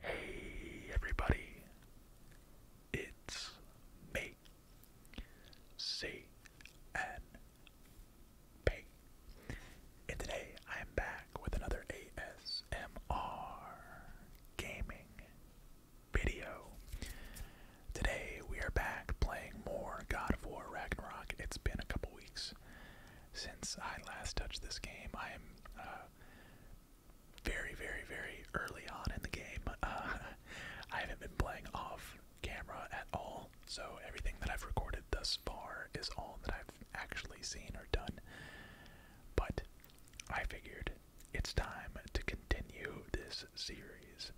Hey everybody, it's me, C N P, and today I am back with another ASMR gaming video. Today we are back playing more God of War Ragnarok. It's been a couple weeks since I last touched this game. I am uh, very, very, very early on in the game. Uh, I haven't been playing off camera at all, so everything that I've recorded thus far is all that I've actually seen or done. But I figured it's time to continue this series,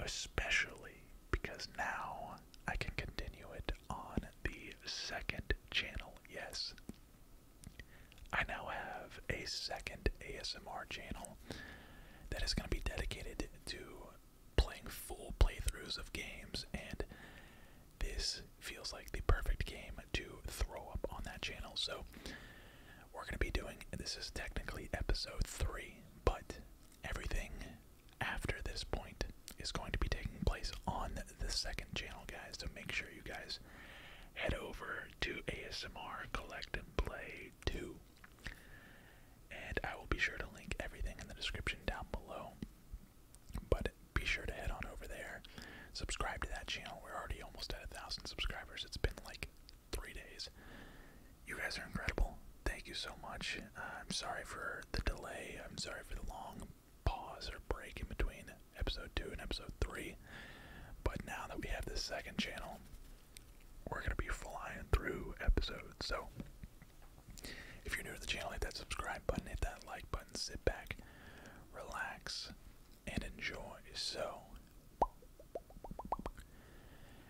especially because now I can continue it on the second channel. Yes. I now have a second ASMR channel that is going to be dedicated to playing full playthroughs of games, and this feels like the perfect game to throw up on that channel. So, we're going to be doing this is technically episode 3, but everything after this point is going to be taking place on the second channel, guys. So make sure you guys head over to ASMR Collect and Play 2. And I will be sure to link everything in the description down below. But be sure to head on over there. Subscribe to that channel. We're already almost at a thousand subscribers. It's been like three days. You guys are incredible thank you so much. Uh, I'm sorry for the delay. I'm sorry for the long pause or break in between episode 2 and episode 3. But now that we have the second channel, we're going to be flying through episodes. So if you're new to the channel, hit that subscribe button, hit that like button, sit back, relax, and enjoy. So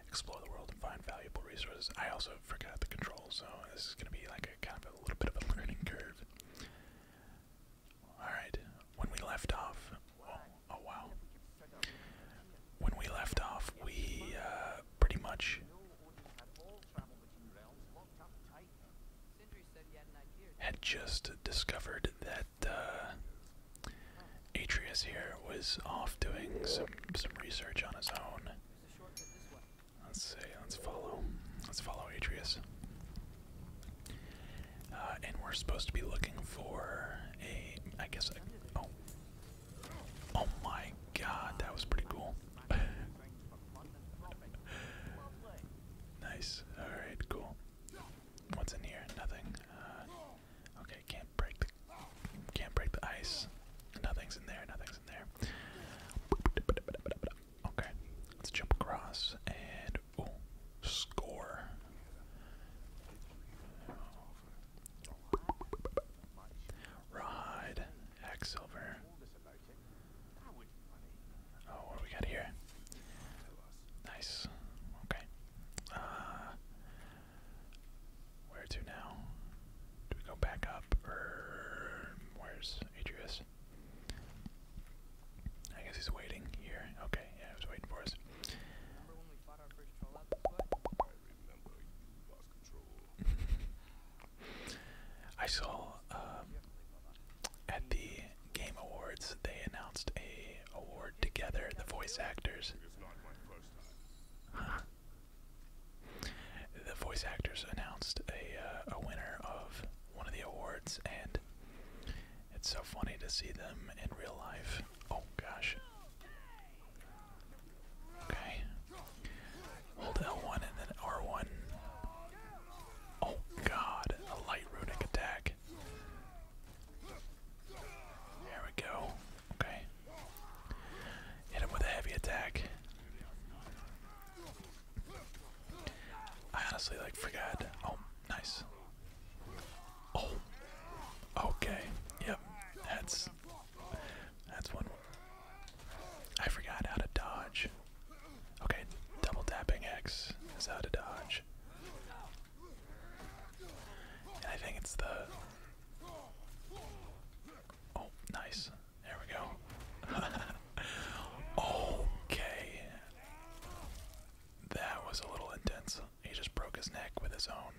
explore the world and find valuable resources. I also forgot the controls, so this is gonna be like a kind of a little bit of a learning curve. Alright, when we left off, oh, oh wow. When we left off, we uh, pretty much had just discovered that uh, Atreus here was off doing some some research on his own. Let's see. Let's follow. Let's follow Atreus. Uh, and we're supposed to be looking for a. I guess. A, oh. Oh my God, that was pretty cool. nice. All right. Cool. What's in here? Nothing. Uh, okay. Can't break the. Can't break the ice. Nothing's in there. Nothing's there. Okay, let's jump across and oh, score. Rod, Hacksilver. Oh, what we got here? Nice. Okay. Uh, where to now? Do we go back up, or where's Atreus? I guess he's waiting here. Okay, yeah, he's waiting for us. I saw um, at the Game Awards they announced a award together, the voice actors. The voice actors announced uh, a winner of one of the awards, and it's so funny to see them in real life. Oh gosh. Okay. Hold L1 and then R1. Oh god, a light runic attack. There we go. Okay. Hit him with a heavy attack. I honestly like forgot. Oh, nice. Oh. Okay. Yep. That's that's one. I forgot how to dodge. Okay, double tapping X is how to dodge. I think it's the Oh, nice. There we go. okay. That was a little intense. He just broke his neck with his own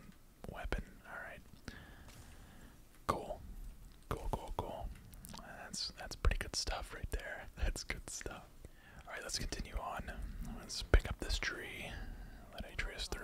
weapon. Alright. Cool. Cool, cool, cool. That's that's pretty good stuff right there. That's good stuff. Alright, let's continue on. Let's pick up this tree. Let it through.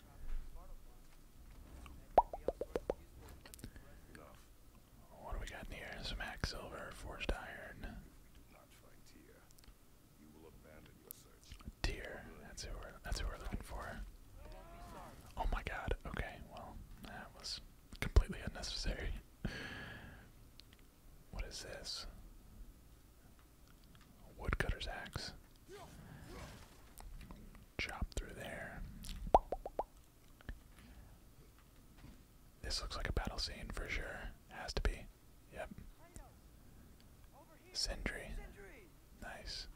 What do we got here? Some silver, forged iron. Not That's who we're that's who we're looking for. Oh my god. Okay, well, that was completely unnecessary. what is this? Woodcutter's axe. Chop through there. This looks like a battle scene for sure. Has to be. Yep. Sindri. Nice.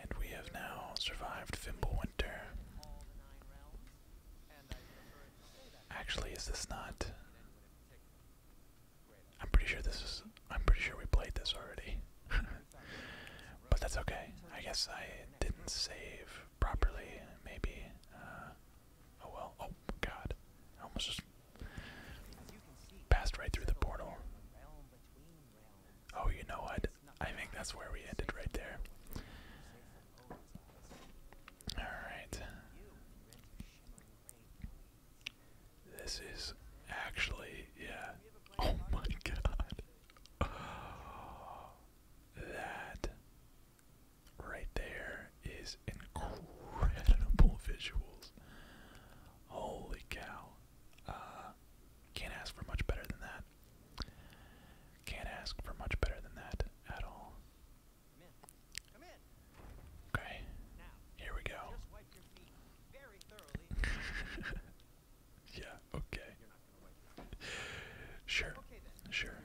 And we have now survived Fimblewinter. Actually, is this not? I'm pretty sure this is. I'm pretty sure we played this already. but that's okay. I guess I didn't save properly. Maybe. Uh, oh well. Oh god. I almost just passed right through the portal. Oh, you know what? I think that's where we ended right there. Alright. This is actually, yeah. Oh my god. that right there is incredible visuals. Holy cow. Uh, can't ask for much better than that. Can't ask for much better than that at all. Okay. Here we go. yeah, okay. sure. Sure.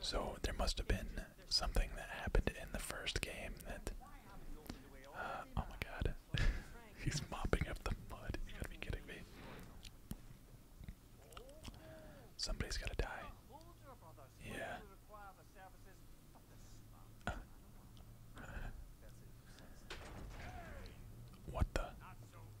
So there must have been something that happened in the first game that. Uh, oh my god. He's mopping up the mud. You gotta be kidding me. Somebody's gotta die. Yeah. what the?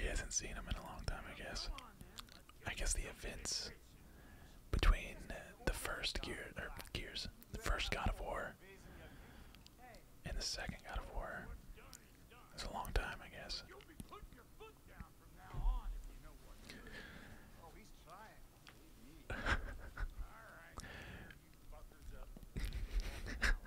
He hasn't seen him in a long time, I guess. I guess the events between uh, the first gear or gears, the first God of War, and the second God of War. It's a long time, I guess.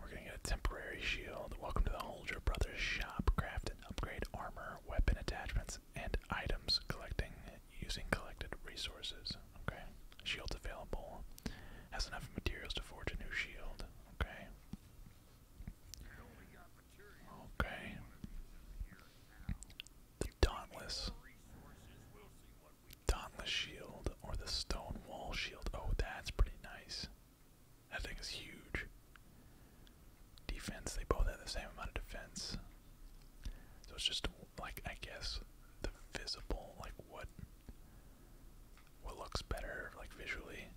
We're gonna get a temporary shield. Welcome to the Holger Brothers shop. Craft and upgrade armor, weapon attachments, and items collecting using collected resources. Okay. Shields available. Has enough materials to forge a new shield. Okay. Okay. The Dauntless. Dauntless Shield or the Stone Wall Shield. Oh, that's pretty nice. That thing is huge. Defense, they both have the same amount of defense. So it's just like I guess the visible, like what what looks better like visually.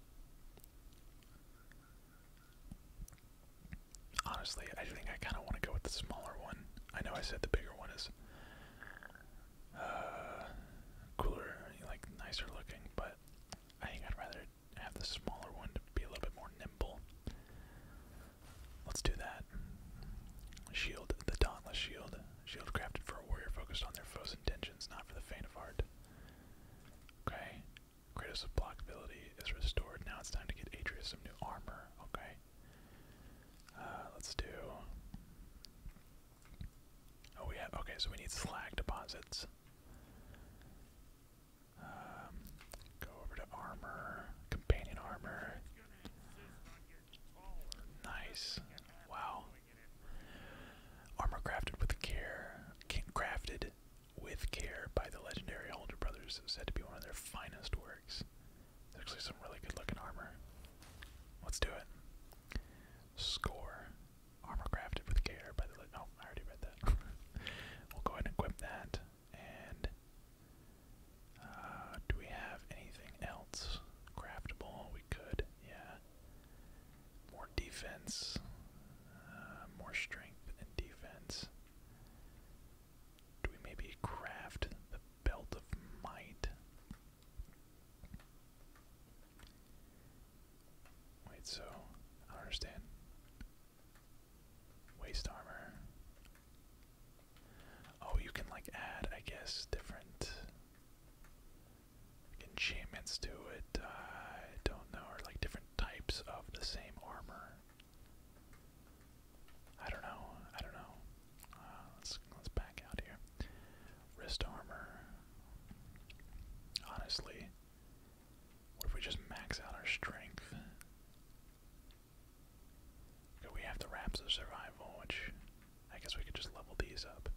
Honestly, I think I kind of want to go with the smaller one. I know I said the bigger one is uh, cooler, like nicer looking, but I think I'd rather have the smaller one to be a little bit more nimble. Let's do that. Shield, the Dauntless Shield. Shield crafted for a warrior focused on their foe's intentions, not for the faint of heart. Okay. Kratos' block ability is restored. Now it's time to get Atreus some new armor. Okay. Uh, let's do. Oh, we have. Okay, so we need slag deposits. Um, go over to armor, companion armor. Nice. Wow. Armor crafted with care, crafted with care by the legendary Older Brothers, said to be one of their finest works. There's actually some really good looking armor. Let's do it. Score. Armor crafted with care by the. No, I already read that. we'll go ahead and equip that. And. Uh, do we have anything else craftable? We could, yeah. More defense, uh, more strength and defense. Do we maybe craft the belt of might? Wait, so I understand. Waist armor. Oh, you can like add, I guess, different enchantments to it. Uh, I don't know, or like different types of the same armor. I don't know. I don't know. Uh, let's let's back out here. Wrist armor. Honestly, what if we just max out our strength? we have the wraps of survival, which I guess we could just level these up.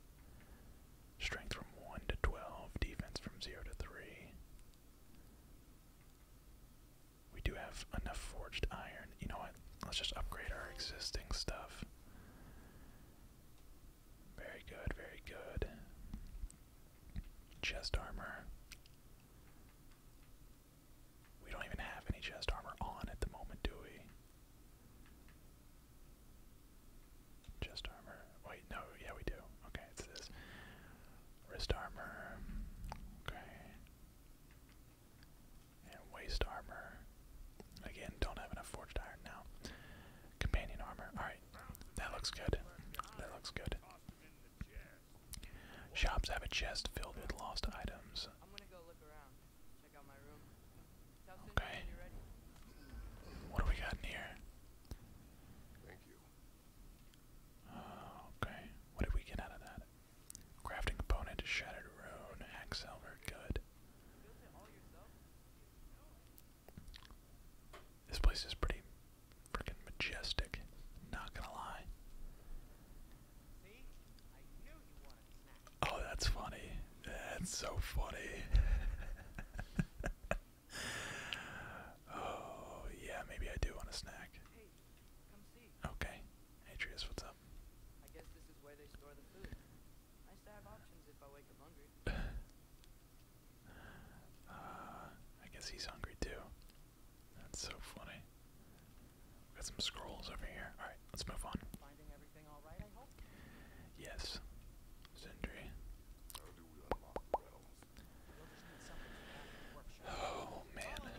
Strength from 1 to 12, defense from 0 to 3. We do have enough forged iron. You know, Let's just upgrade our existing stuff. Very good, very good. Chest armor. We don't even have any chest armor on at the moment, do we? Chest armor. Wait, no, yeah, we do. Okay, it's this. Wrist armor. Okay. Waste armor. Again, don't have enough forged iron now. Companion armor. Alright. That looks good. That looks good. Shops have a chest filled with lost items. I'm gonna go look around. Check out my room. Okay. What do we got here? Oh, okay. What did we get out of that? Crafting component is Shattered Rune, Hacksalver, good. This place is pretty freaking majestic, not gonna lie. Oh, that's funny. That's so funny. oh, yeah, maybe I do want a snack. Okay, Atreus, what's up? I guess this is where they store the food. Nice to have options if I wake up hungry. uh, I guess he's hungry too. That's so funny. got some scrolls over here. All right, let's move on. Finding everything all right, I hope. Yes. Sindri. Oh man.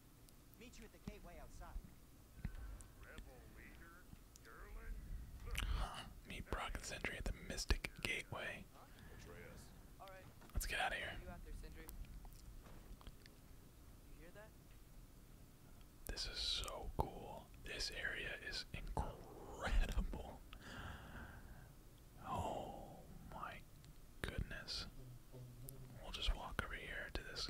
Meet you at the gateway outside. Meet Brock and Sentry at the Mystic Gateway. Let's get out of here. This is so cool. This area is incredible. Oh my goodness. We'll just walk over here to this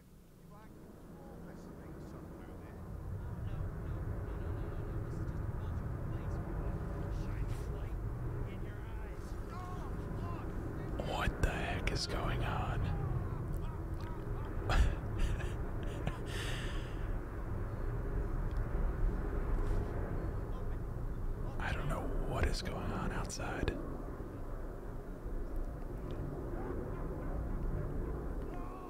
What the heck is going on? I don't know what is going on outside.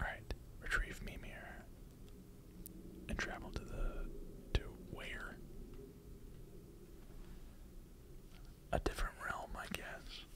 Alright, retrieve Mimir and travel to the. to where? A different realm, I guess.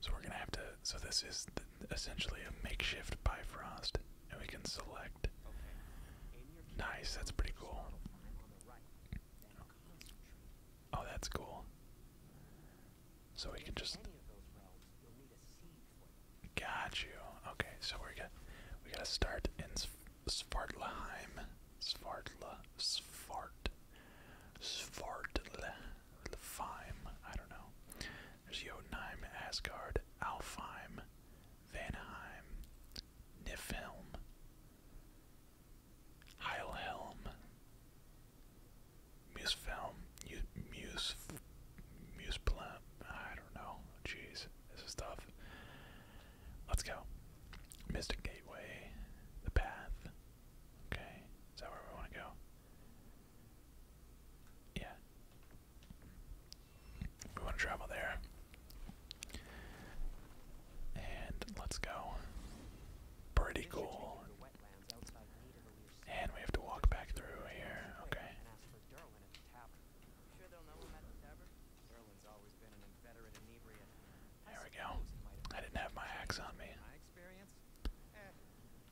So we're gonna have to, so this is essentially a makeshift Bifrost, and we can select. Nice, that's pretty cool. Oh, that's cool. So we can just. Got you. Okay, so we're gonna we gotta start in Svartalheim. Svartla, Svart, Svartlheim. I don't know. There's Jotunheim, Asgard, Alfheim, Vanheim, Niflheim, Heilhelm, Musefilm, Muse, Museplam. I don't know. Jeez, this is tough. Let's go. Mystic Gateway, the path. Okay, is that where we want to go? Yeah. We want to travel there. And let's go. Pretty cool. And we have to walk back through here. Okay. There we go. I didn't have my axe on me.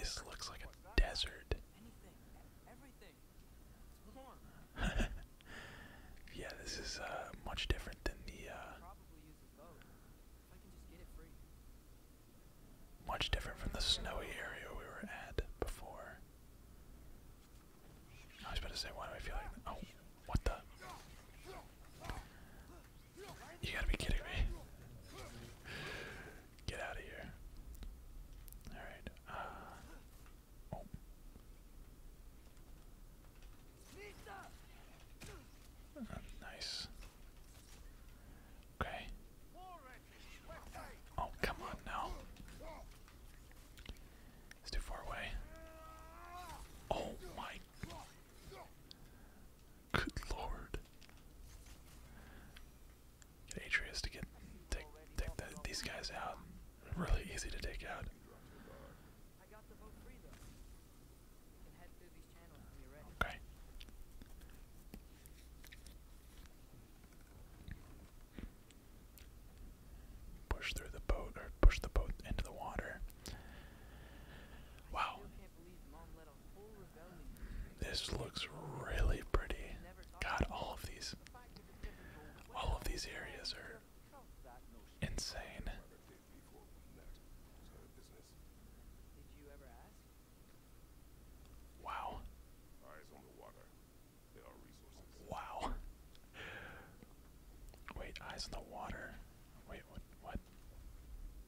This looks like a desert. yeah, this is uh, much different than the. Uh, much different from the snowy area we were at before. I was about to say, why do I feel like. Oh, what the? You gotta be kidding me. Get out of here. Alright, uh, oh. uh, nice. Okay. Oh, come on now. It's too far away. Oh my. Good lord. Get Atreus to get take take these guys out. Really easy to take out. Okay. Push through the boat or push the boat into the water. Wow. This looks really pretty. God, all of these, all of these areas are insane. Wow. Wow. Wait, eyes on the water. Wait, What?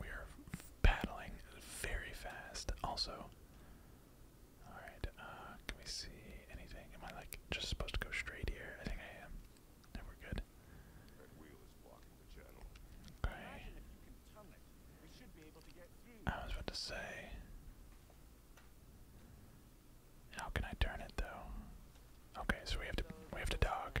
We are paddling very fast. Also, all right. Uh, can we see anything? Am I like just supposed to go straight here? I think I am. Then we're good. I was about to say. How can I turn it though? Okay, so we have to we have to dog.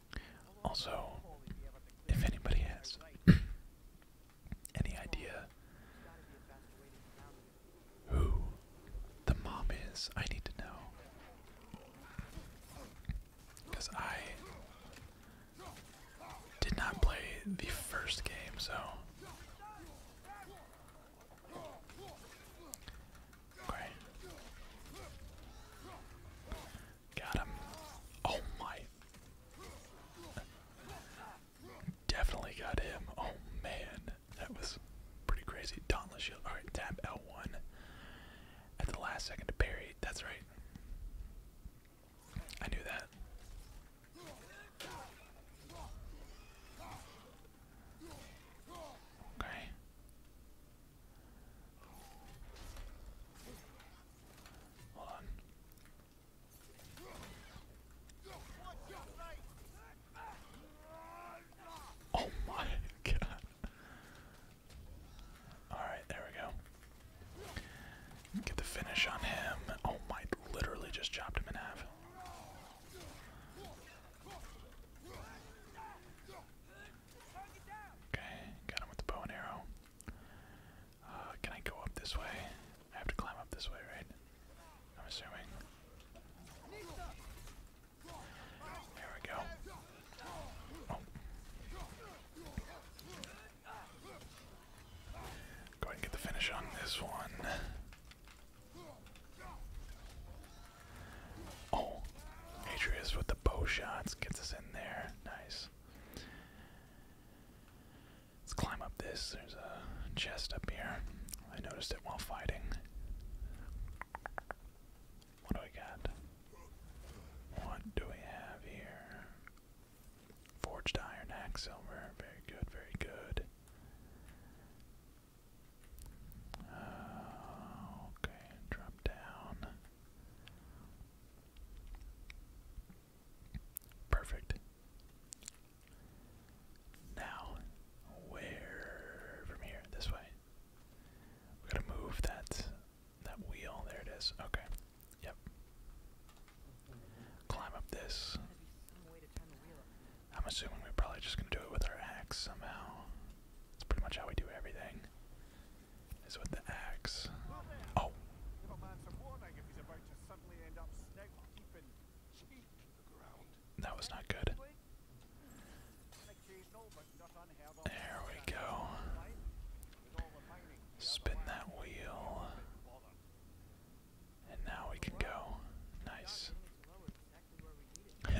Also, if anybody has any idea who the mom is, I need to know. Because I did not play the first game, so. Great. Got him. Oh my. Definitely got him. Oh man. That was pretty crazy. Dauntless Shield. Alright, tap L1. At the last second to parry. That's right. I knew that. Okay. Oh my god. Alright, there we go. Get the finish on him. Oh my, literally just chopped him in half. Okay, got him with the bow and arrow. Uh, can I go up this way? I have to climb up this way, right? I'm assuming. There we go. Oh. Go ahead and get the finish on this one. Oh, Atreus with the bow shots gets us in there. Nice. Let's climb up this. There's a chest up here. I noticed it while fighting. What do we got? What do we have here? Forged iron, axe, Very good, very good. Uh, okay, drop down. Perfect. Now, where from here? This way. We gotta move that that wheel. There it is. Okay. Yep. Climb up this. I'm assuming we're probably just gonna do it with our axe somehow. That's pretty much how we do everything is with the axe. Oh. That was not good. There we go. Spin that wheel. And now we can go. Nice.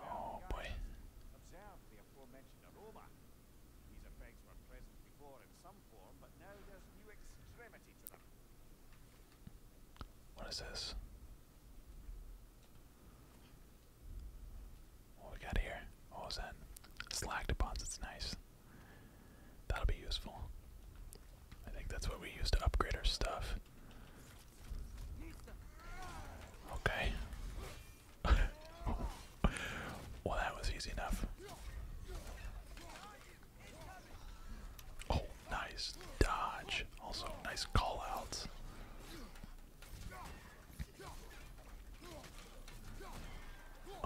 Oh boy. Observe the aforementioned aroma. These effects were present before in some form, but now there's new extremity to them. What is this? What we got here? What oh, that? Slag deposits, nice. That'll be useful. I think that's what we use to upgrade our stuff. Okay. well, that was easy enough. Oh, nice dodge. Also, nice call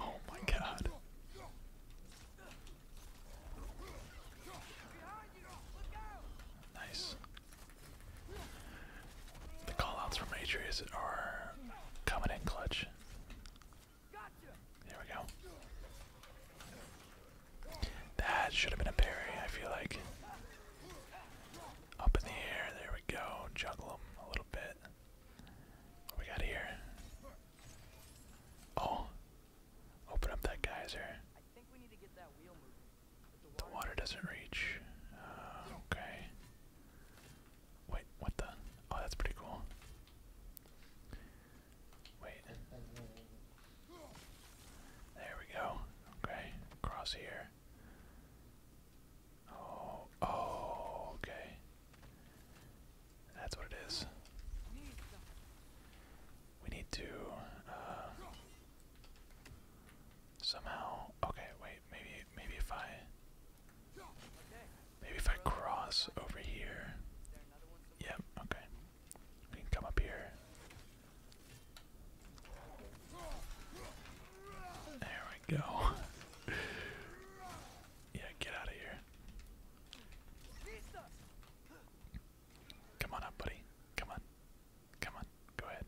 Oh my god. Nice. The callouts from Atreus are coming in clutch. There we go. That should have been a parry, I feel like. Up in the air, there we go. Juggle him a little bit. What we got here? Oh. Open up that geyser. The water doesn't reach. Uh, okay. Wait, what the? Oh, that's pretty cool. Wait. There we go. Okay, across here. Oh, oh, okay. That's what it is. We need to, uh, Somehow, okay, wait, maybe, maybe if I, maybe if I cross over here, yep, okay, we can come up here, there we go, yeah, get out of here, come on up buddy, come on. Come on, go ahead.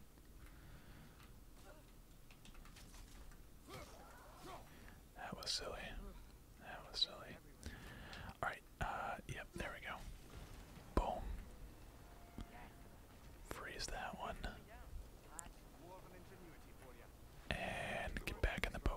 That was silly. That was silly. Alright, uh, yep, there we go. Boom. Freeze that one. And get back in the boat.